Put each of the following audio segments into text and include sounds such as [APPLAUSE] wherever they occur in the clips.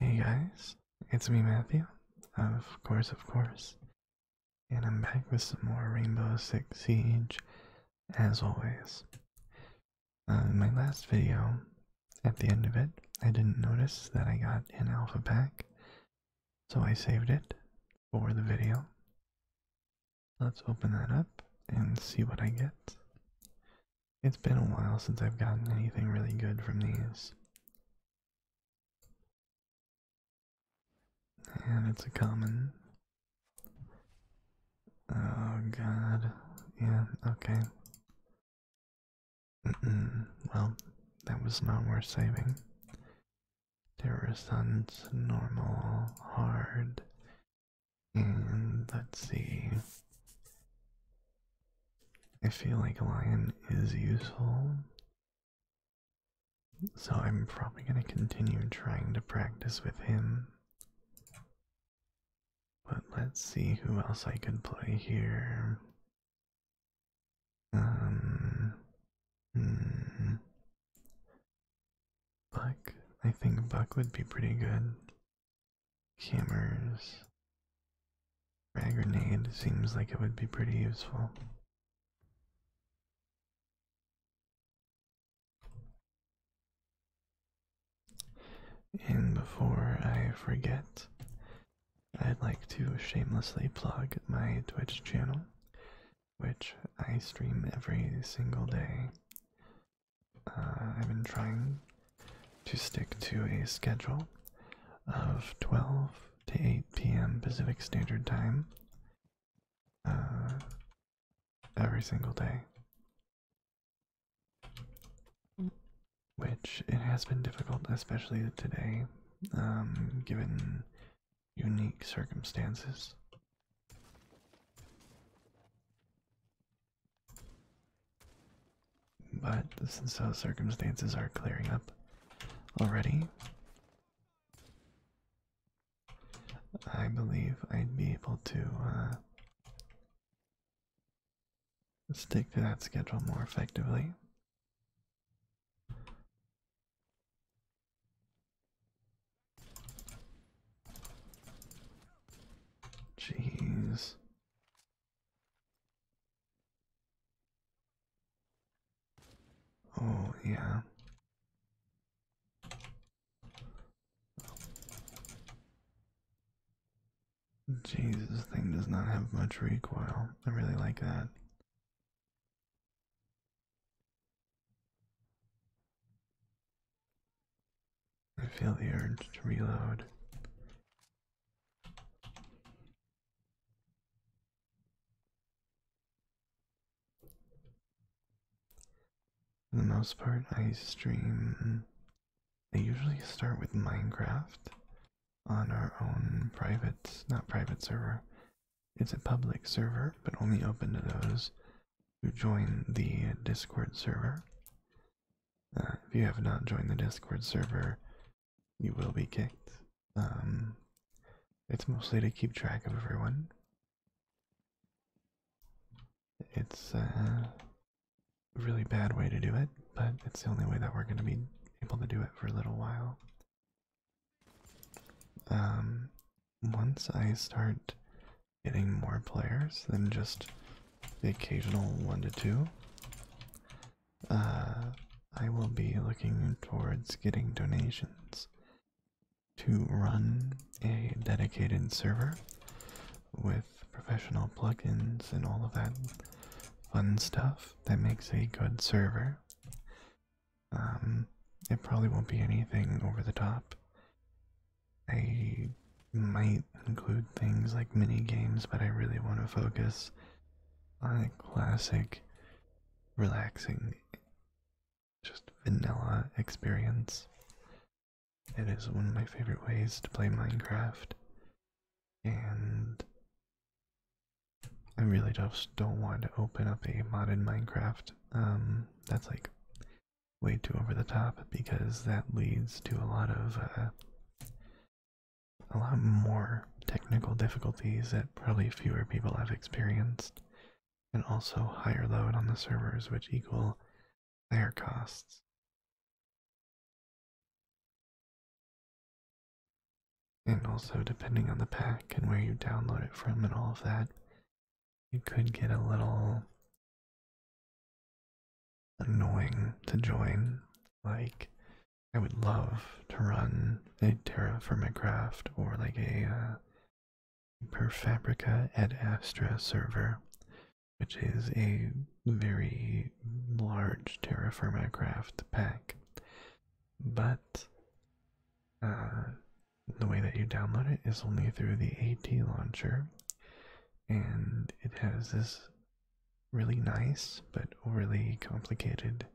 Hey guys, it's me Matthew, of course, of course, and I'm back with some more Rainbow Six Siege, as always. Uh, my last video, at the end of it, I didn't notice that I got an alpha pack, so I saved it for the video. Let's open that up and see what I get. It's been a while since I've gotten anything really good from these. And it's a common. Oh god. Yeah, okay. Mm -mm. Well, that was not worth saving. There Terror Sun's normal, hard, and mm, let's see. I feel like lion is useful. So I'm probably going to continue trying to practice with him. But let's see who else I could play here. Um, hmm. Buck. I think Buck would be pretty good. Cameras. Frag grenade seems like it would be pretty useful. And before I forget, I'd like to shamelessly plug my Twitch channel, which I stream every single day uh, I've been trying to stick to a schedule of 12 to 8 p.m. Pacific Standard Time uh, every single day. Which it has been difficult, especially today, um, given unique circumstances. But since those circumstances are clearing up already, I believe I'd be able to uh, stick to that schedule more effectively. Jeez. Oh, yeah. Jesus, thing does not have much recoil. I really like that. I feel the urge to reload. For the most part, I stream. I usually start with Minecraft on our own private, not private server. It's a public server, but only open to those who join the Discord server. Uh, if you have not joined the Discord server, you will be kicked. Um, it's mostly to keep track of everyone. It's uh, a really bad way to do it, but it's the only way that we're going to be able to do it for a little while. Um, once I start getting more players than just the occasional one to two. Uh, I will be looking towards getting donations to run a dedicated server with professional plugins and all of that fun stuff that makes a good server. Um, it probably won't be anything over the top. I might include things like mini games, but I really want to focus on a classic, relaxing, just vanilla experience. It is one of my favorite ways to play Minecraft, and I really just don't want to open up a modded Minecraft. Um, that's like way too over the top because that leads to a lot of uh, a lot more technical difficulties that probably fewer people have experienced, and also higher load on the servers, which equal higher costs. And also, depending on the pack and where you download it from and all of that, you could get a little annoying to join. Like, I would love to run a Terra for my or like a uh, Per Fabrica et Astra server, which is a very large Terra for my pack. But uh, the way that you download it is only through the AT launcher, and it has this really nice but overly complicated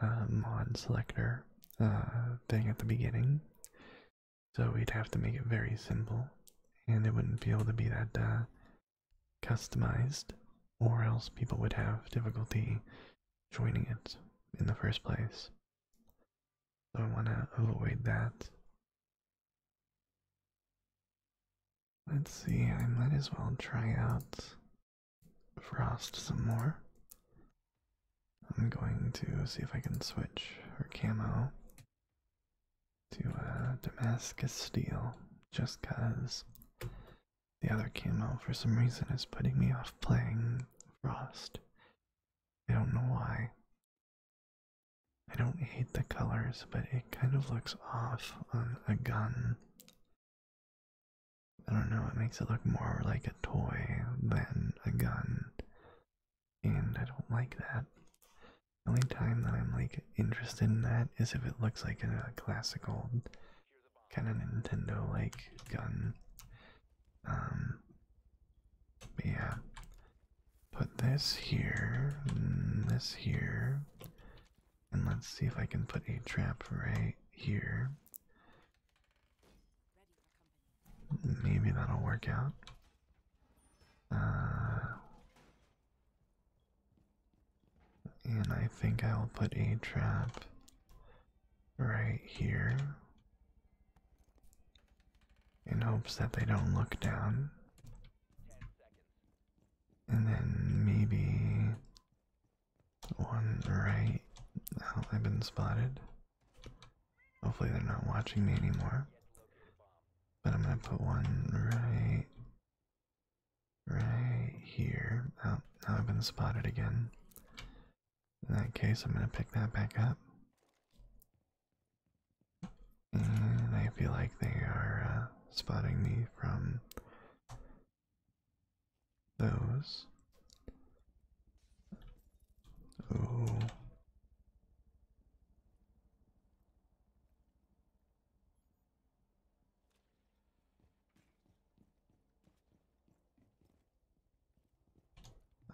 uh, mod selector uh, thing at the beginning. So we'd have to make it very simple, and it wouldn't be able to be that uh, customized, or else people would have difficulty joining it in the first place. So I want to avoid that. Let's see, I might as well try out Frost some more. I'm going to see if I can switch her camo to uh, Damascus Steel just because the other camo for some reason is putting me off playing Frost. I don't know why. I don't hate the colors, but it kind of looks off on a gun. I don't know, it makes it look more like a toy than a gun. And I don't like that. The only time that I'm like interested in that is if it looks like a classical kind of Nintendo like gun. Um yeah put this here, mm, this here, and let's see if I can put a trap right here. Maybe that'll work out. Uh, and I think I will put a trap right here in hopes that they don't look down. And then maybe one right. Oh, I've been spotted. Hopefully, they're not watching me anymore. But I'm gonna put one right. Right here. Oh, now I've been spotted again. In that case, I'm gonna pick that back up. And mm, I feel like they are uh, spotting me from those.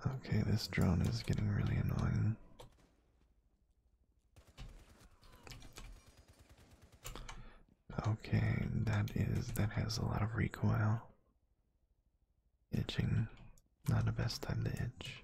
Okay, this drone is getting really annoying. Okay, that is that has a lot of recoil. Itching. Not the best time to itch.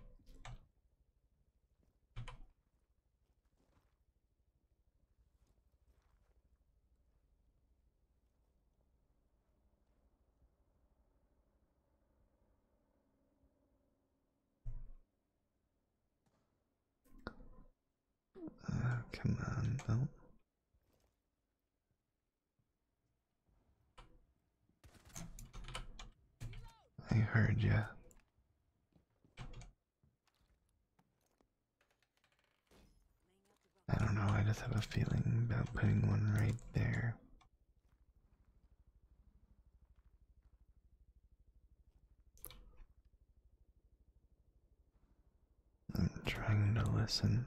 Uh, command I heard you. I don't know, I just have a feeling about putting one right there. I'm trying to listen.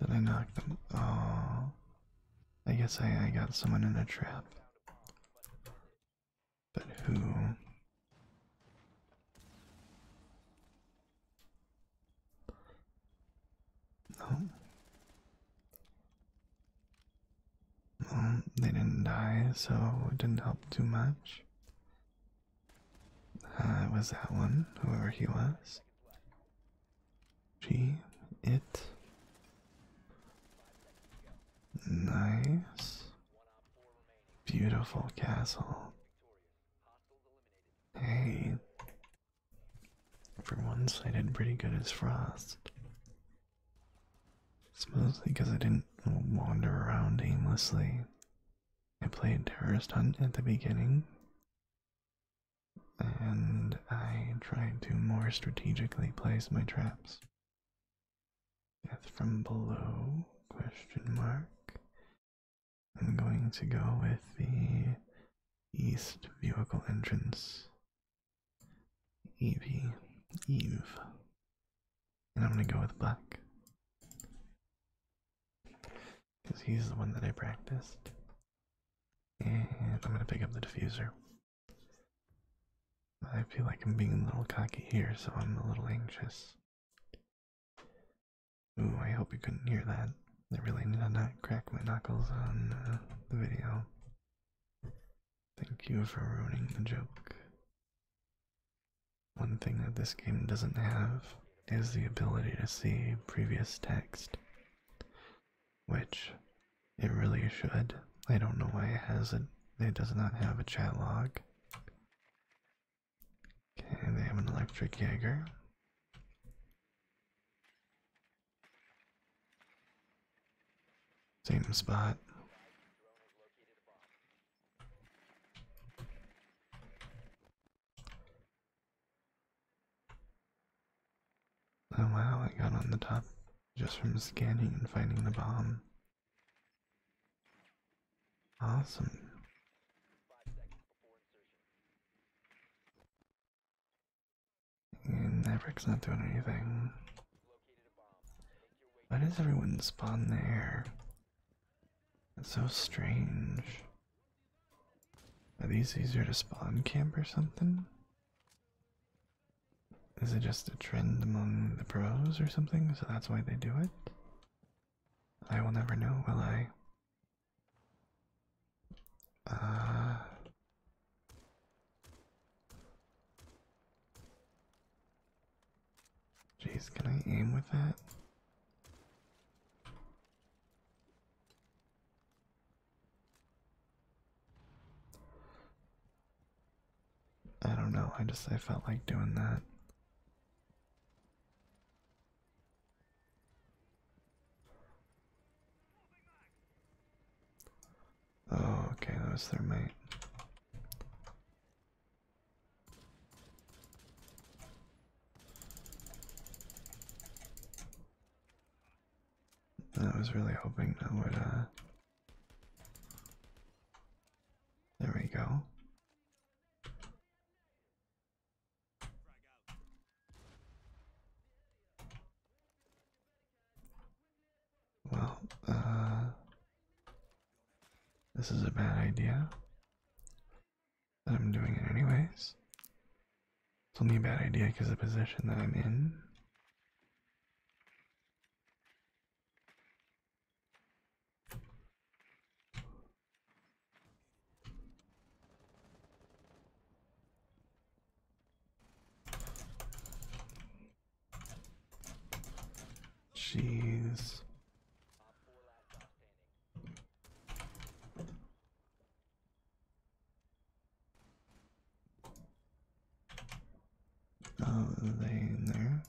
Did I knock them? Oh, I guess I, I got someone in a trap. But who? No. they didn't die, so it didn't help too much. Uh, was that one, whoever he was. She, it. Nice. Beautiful castle. Hey. For once, I did pretty good as Frost. It's mostly because I didn't wander around aimlessly. I played Terrorist Hunt at the beginning, and I tried to more strategically place my traps. Death from below? Question mark. I'm going to go with the east vehicle entrance. Eve. Eve, and I'm gonna go with black because he's the one that I practiced. And I'm gonna pick up the diffuser. I feel like I'm being a little cocky here, so I'm a little anxious. Ooh, I hope you couldn't hear that. I really need to not crack my knuckles on uh, the video. Thank you for ruining the joke. One thing that this game doesn't have is the ability to see previous text, which it really should. I don't know why it has it. It does not have a chat log. Okay, they have an electric Jaeger. Same spot. Oh, wow, I got on the top just from scanning and finding the bomb. Awesome. And that brick's not doing anything. Why does everyone spawn there? It's so strange. Are these easier to spawn camp or something? Is it just a trend among the pros or something, so that's why they do it? I will never know, will I? Uh, Jeez, can I aim with that? I don't know, I just I felt like doing that. Oh, okay, that was their mate. I was really hoping that would, uh. There we go. Well, uh. This is a bad idea. But I'm doing it anyways. It's only a bad idea because of the position that I'm in. Jeez. Uh, they in there.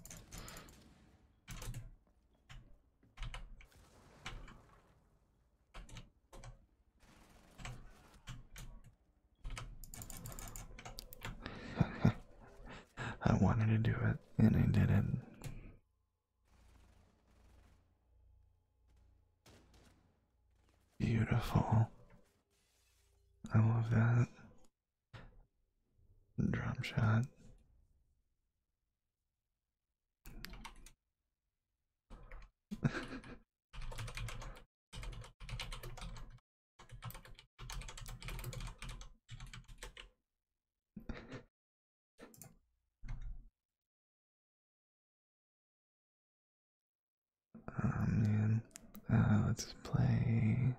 [LAUGHS] I wanted to do it and I did it. Beautiful. I love that. drum shot. [LAUGHS] Oh man, uh, let's play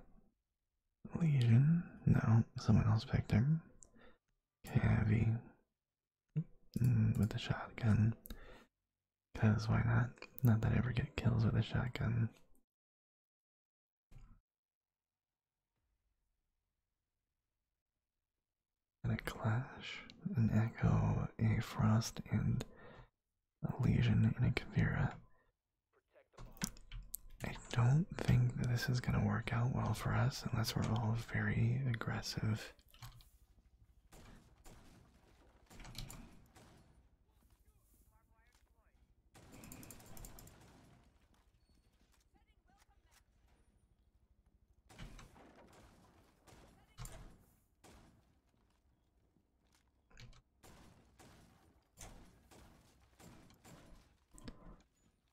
Legion. No, someone else picked him. Cavi with the shotgun. Cause why not? Not that I ever get kills with a shotgun. And a clash, an echo, a frost, and a lesion in a Kavira. I don't think that this is going to work out well for us unless we're all very aggressive.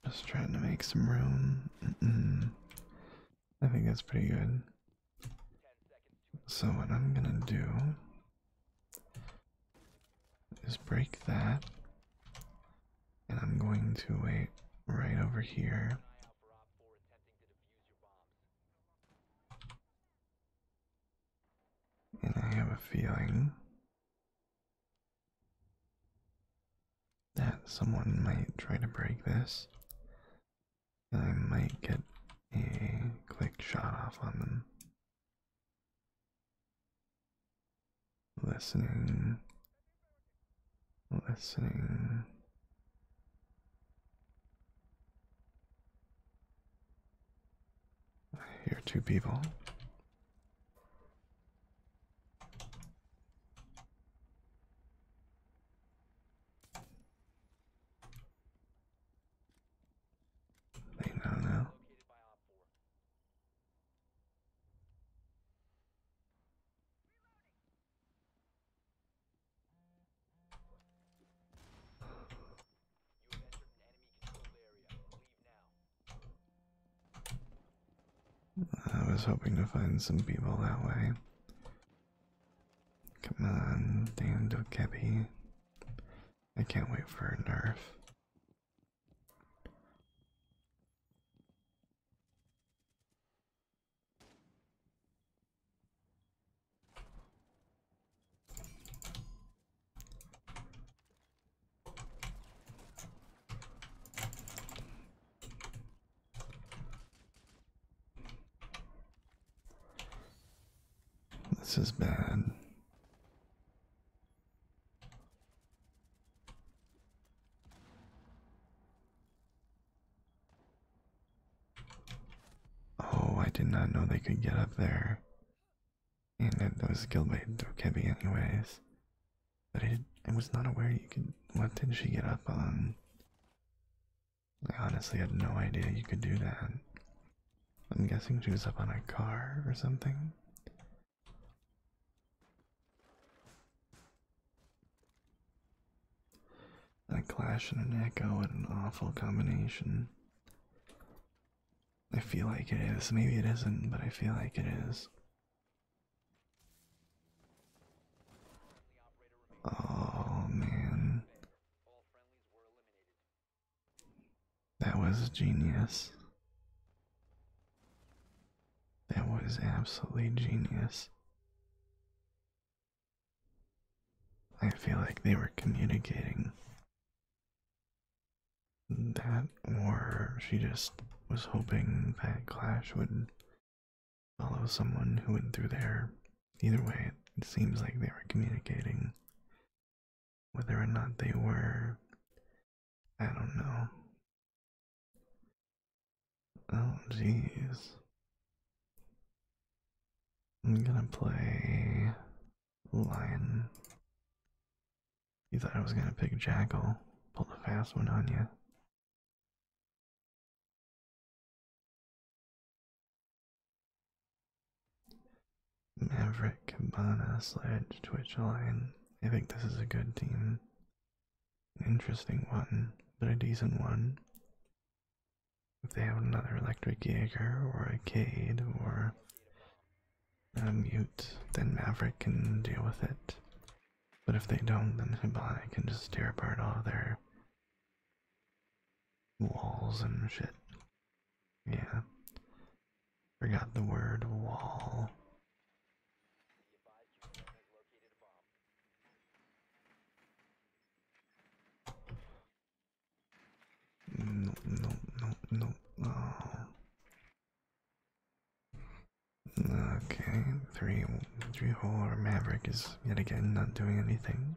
Just trying to make some room. I think that's pretty good. So, what I'm gonna do is break that. And I'm going to wait right over here. And I have a feeling that someone might try to break this. And I might get a quick shot off on them listening, listening. I hear two people. They know I was hoping to find some people that way. Come on, damn Dokebi. I can't wait for a nerf. This is bad. Oh, I did not know they could get up there. And that was killed by Dokebi anyways. But I was not aware you could. What did she get up on? I honestly had no idea you could do that. I'm guessing she was up on a car or something. That clash and an echo, what an awful combination. I feel like it is. Maybe it isn't, but I feel like it is. Oh man. That was genius. That was absolutely genius. I feel like they were communicating that, or she just was hoping that Clash would follow someone who went through there. Either way, it seems like they were communicating whether or not they were, I don't know. Oh, jeez. I'm gonna play Lion. You thought I was gonna pick Jackal. Pulled a fast one on you. Maverick, Cabana, Sledge, Twitchline. I think this is a good team. interesting one, but a decent one. If they have another Electric Jaeger or a Cade or a uh, Mute, then Maverick can deal with it. But if they don't, then Hibana can just tear apart all their walls and shit. Yeah. Forgot the word wall. No, no, no, no. Uh, okay, three, three hole or Maverick is yet again not doing anything.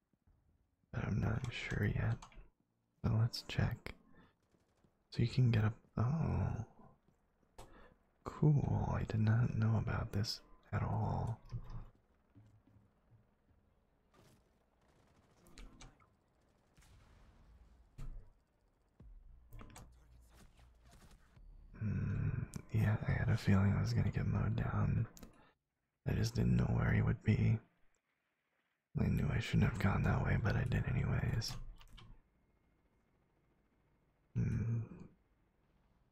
but I'm not sure yet. So let's check. So you can get up. Oh, cool! I did not know about this at all. Hmm. yeah, I had a feeling I was gonna get mowed down I just didn't know where he would be. I knew I shouldn't have gone that way, but I did anyways. Hmm.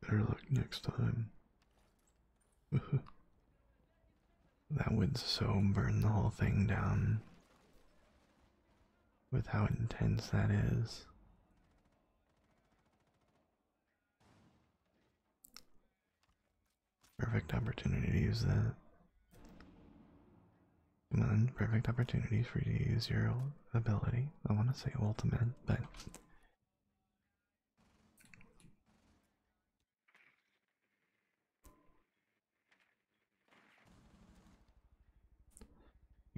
Better luck next time. [LAUGHS] that would so burn the whole thing down. With how intense that is. Perfect opportunity to use that. Come perfect opportunity for you to use your ability. I want to say ultimate, but.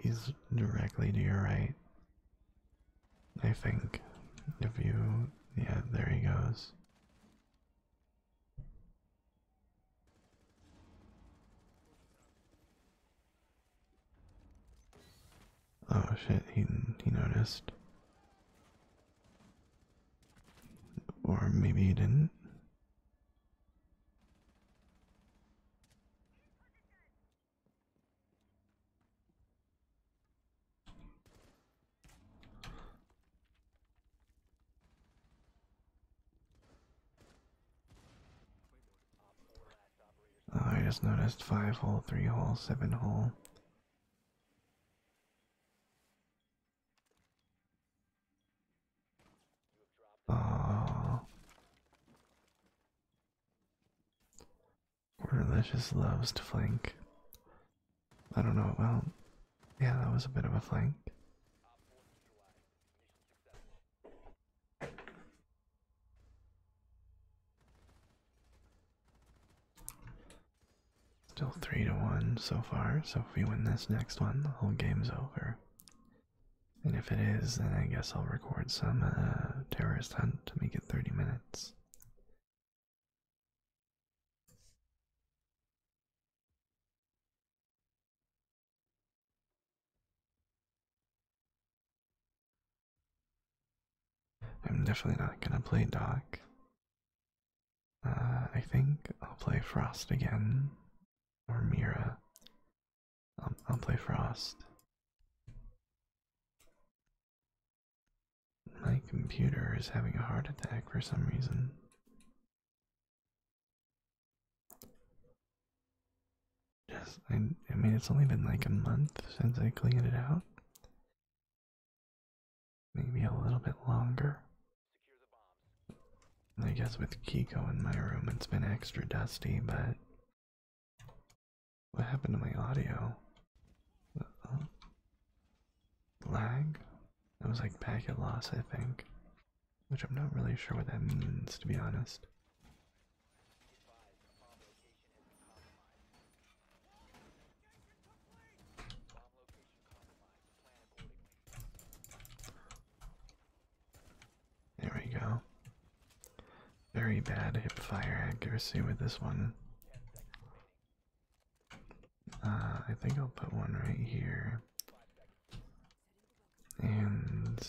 He's directly to your right. I think if you, yeah, there he goes. Oh shit, he he noticed. Or maybe he didn't. Oh, I just noticed five hole, three hole, seven hole. Oh. Religious loves to flank. I don't know, well, yeah, that was a bit of a flank. Still 3 to 1 so far, so if we win this next one, the whole game's over. And if it is, then I guess I'll record some uh, terrorist hunt to make it 30 minutes. I'm definitely not gonna play Doc. Uh, I think I'll play Frost again, or Mira. I'll play Frost. My computer is having a heart attack for some reason. Just, I, mean, it's only been like a month since I cleaned it out. Maybe a little bit longer. I guess with Kiko in my room, it's been extra dusty, but. What happened to my audio? Lag? That was like packet loss, I think. Which I'm not really sure what that means, to be honest. There we go. Very bad hip fire accuracy with this one. Uh, I think I'll put one right here. And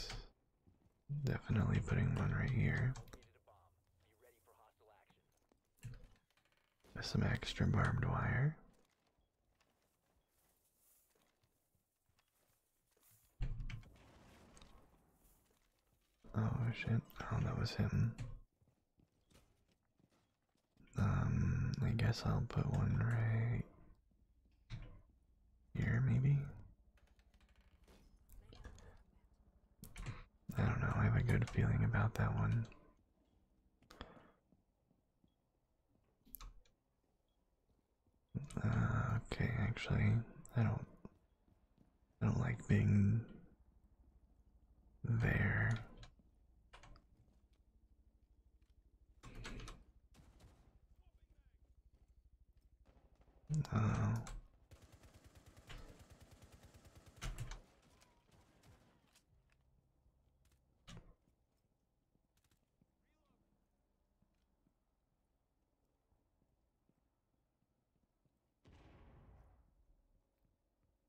definitely putting one right here. Some extra barbed wire. Oh shit, oh that was him. Um, I guess I'll put one right here, maybe. I don't know, I have a good feeling about that one. Uh, okay, actually, I don't I don't like being there. Oh.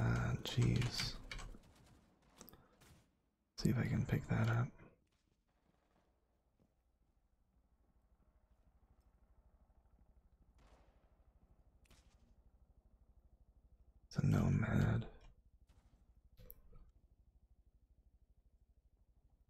Ah, jeez. See if I can pick that up. It's a nomad.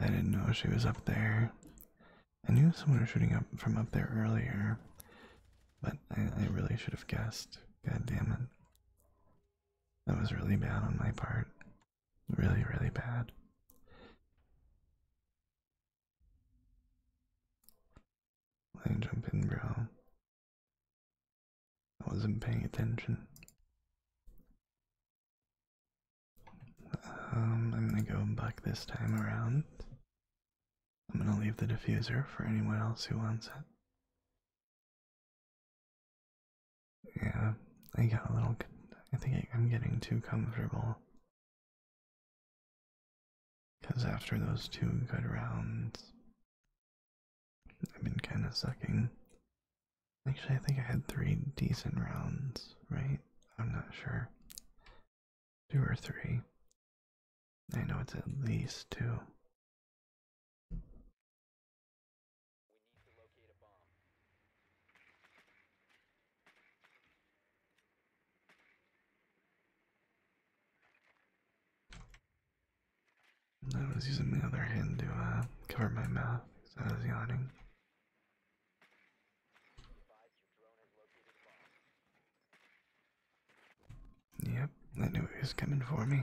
I didn't know she was up there. I knew someone was shooting up from up there earlier, but I, really should have guessed. God damn it. That was really bad on my part. Really, really bad. Line jump in, bro. I wasn't paying attention. Um, I'm gonna go buck this time around. I'm gonna leave the diffuser for anyone else who wants it. Yeah, I got a little. I think I'm getting too comfortable. Because after those two good rounds, I've been kind of sucking Actually, I think I had three decent rounds, right? I'm not sure. Two or three. I know it's at least two. I was using my other hand to uh, cover my mouth because I was yawning. Yep, I knew he was coming for me.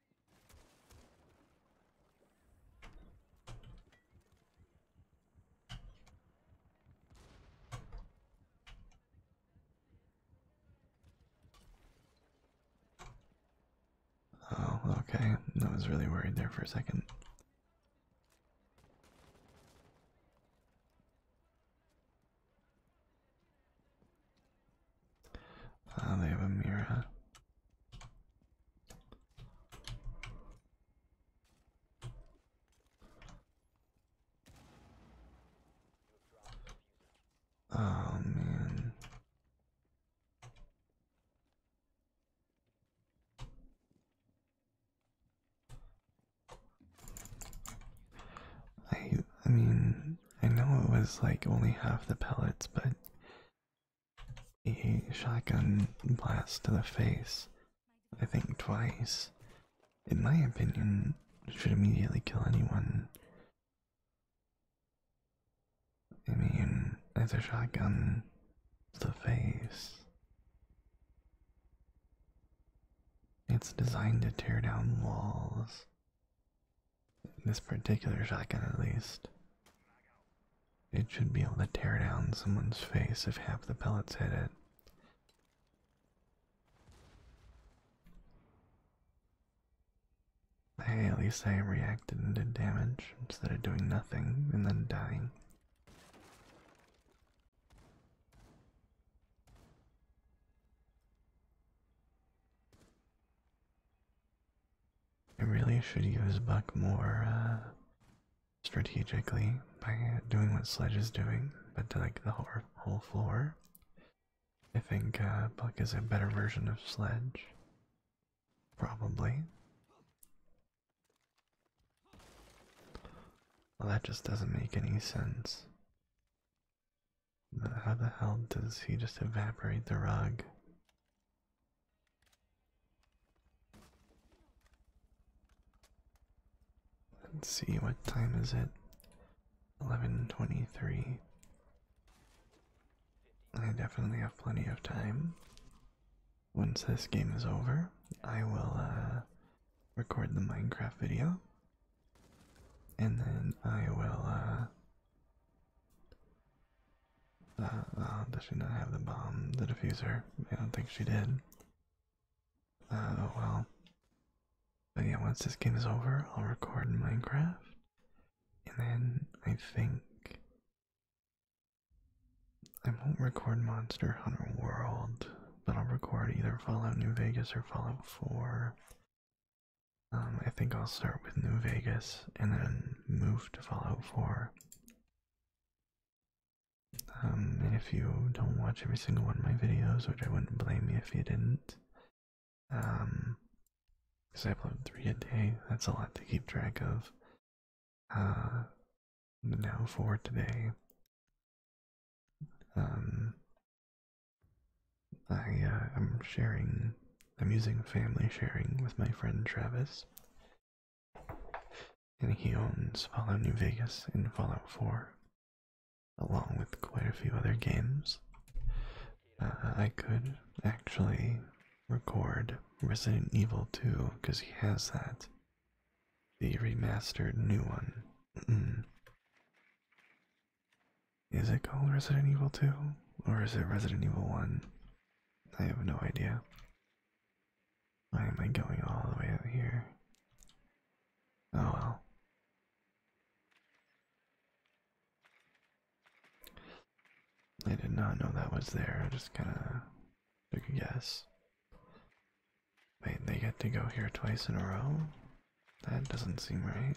Oh, okay. I was really worried there for a second. Ah, they have a mirror. Oh I I mean I know it was like only half the pellets, but a shotgun blast to the face, I think twice, in my opinion, should immediately kill anyone. I mean, it's a shotgun to the face. It's designed to tear down walls, this particular shotgun, at least. It should be able to tear down someone's face if half the pellets hit it. Hey, at least I reacted and did damage instead of doing nothing and then dying. I really should use Buck more uh, strategically by doing what Sledge is doing, but to like the whole, floor. I think uh, Buck is a better version of Sledge. Probably. Well, that just doesn't make any sense. How the hell does he just evaporate the rug? Let's see, what time is it? 11.23. I definitely have plenty of time. Once this game is over, I will uh, record the Minecraft video and then I will, uh, uh, does she not have the bomb, the diffuser? I don't think she did. Uh, oh well. yeah, once this game is over, I'll record Minecraft, and then I think I won't record Monster Hunter World, but I'll record either Fallout New Vegas or Fallout 4. Um, I think I'll start with New Vegas and then move to Fallout 4. Um, and if you don't watch every single one of my videos, which I wouldn't blame you if you didn't, um, because I upload three a day, that's a lot to keep track of. Uh, now for today. Um, I am uh, sharing. I'm using family sharing with my friend Travis, and he owns Fallout New Vegas and Fallout 4, along with quite a few other games. Uh, I could actually record Resident Evil 2 because he has that, the remastered new one. Is it called Resident Evil 2? Or is it Resident Evil 1? I have no idea. Why am I going all the way out here? Oh well. I did not know that was there. I just kind of took a guess. Wait, they get to go here twice in a row? That doesn't seem right.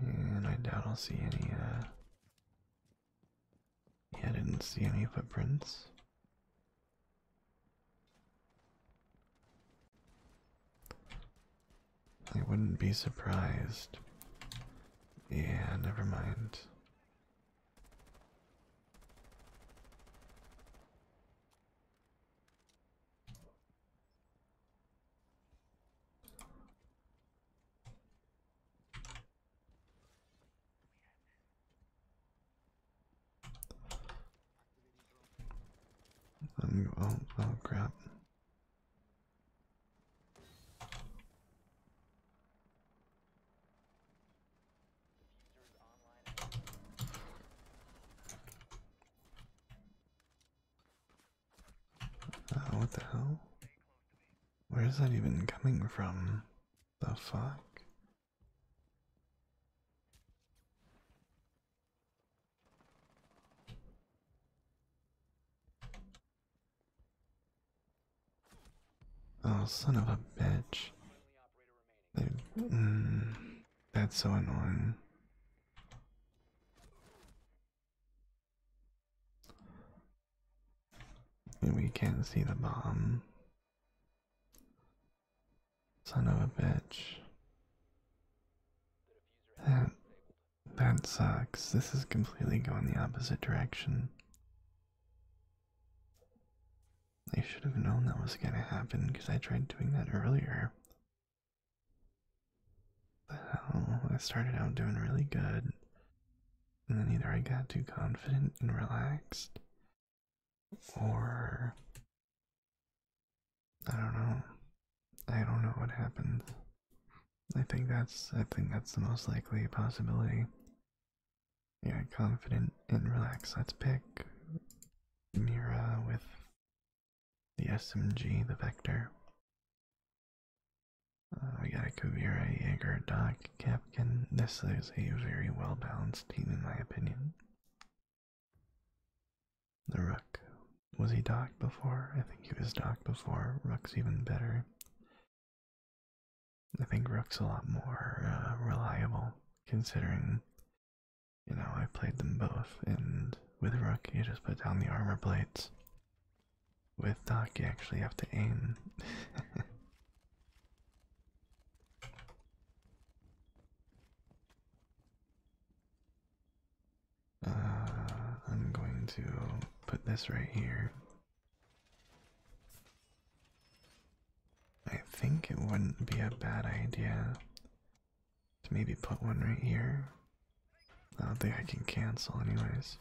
And I doubt I'll see any, uh, Yeah, didn't see any footprints. I wouldn't be surprised. Yeah, never mind. Let me go. Oh, oh crap. Uh, what the hell? Where is that even coming from? The fuck? Oh, son of a bitch. Mm, that's so annoying. And we can not see the bomb. Son of a bitch. That, that sucks. This is completely going the opposite direction. I should have known that was gonna happen because I tried doing that earlier. The hell? I started out doing really good, and then either I got too confident and relaxed, or I don't know. I don't know what happened. I think that's I think that's the most likely possibility. Yeah, confident and relaxed. Let's pick Mira with the SMG, the Vector. Uh, we got a Kavira, Jaeger, Doc, Captain. This is a very well balanced team, in my opinion. The Rook. Was he Doc before? I think he was Doc before. Rook's even better. I think Rook's a lot more uh, reliable, considering you know, I played them both, and with Rook, you just put down the armor plates. With Doc, you actually have to aim. [LAUGHS] uh, I'm going to put this right here. I think it wouldn't be a bad idea to maybe put one right here. I don't think I can cancel, anyways.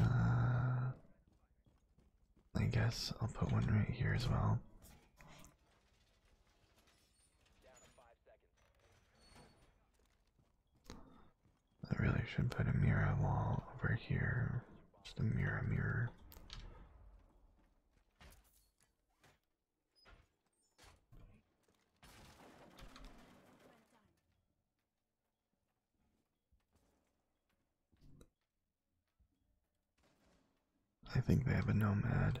Uh, I guess I'll put one right here as well. I really should put a mirror wall over here. Just a mirror, mirror. I think they have a nomad.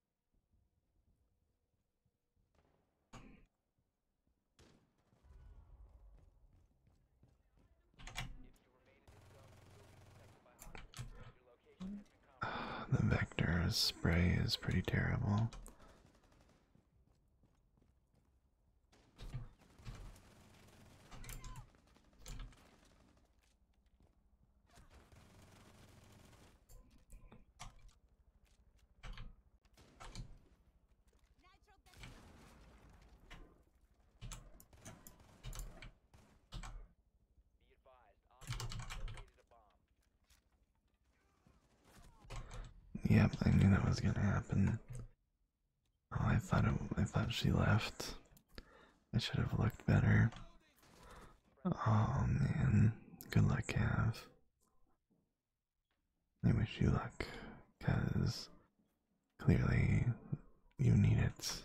[SIGHS] The vector spray is pretty terrible. Yep, I knew that was gonna happen. Oh, I thought I thought she left. I should have looked better. Oh man, good luck, Cav. I wish you luck, because clearly you need it.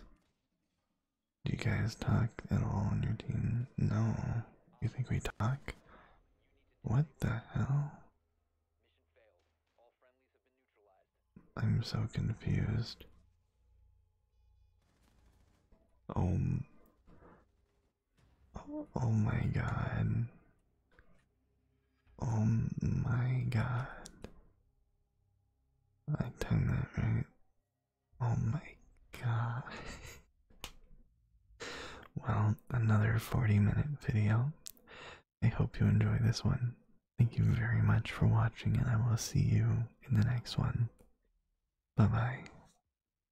Do you guys talk at all on your team? No. You think we talk? What the hell? I'm so confused. Oh, Oh, my god. Oh my god. I done that right. Oh my god. [LAUGHS] well, another 40 minute video. I hope you enjoy this one. Thank you very much for watching, and I will see you in the next one. Bye bye.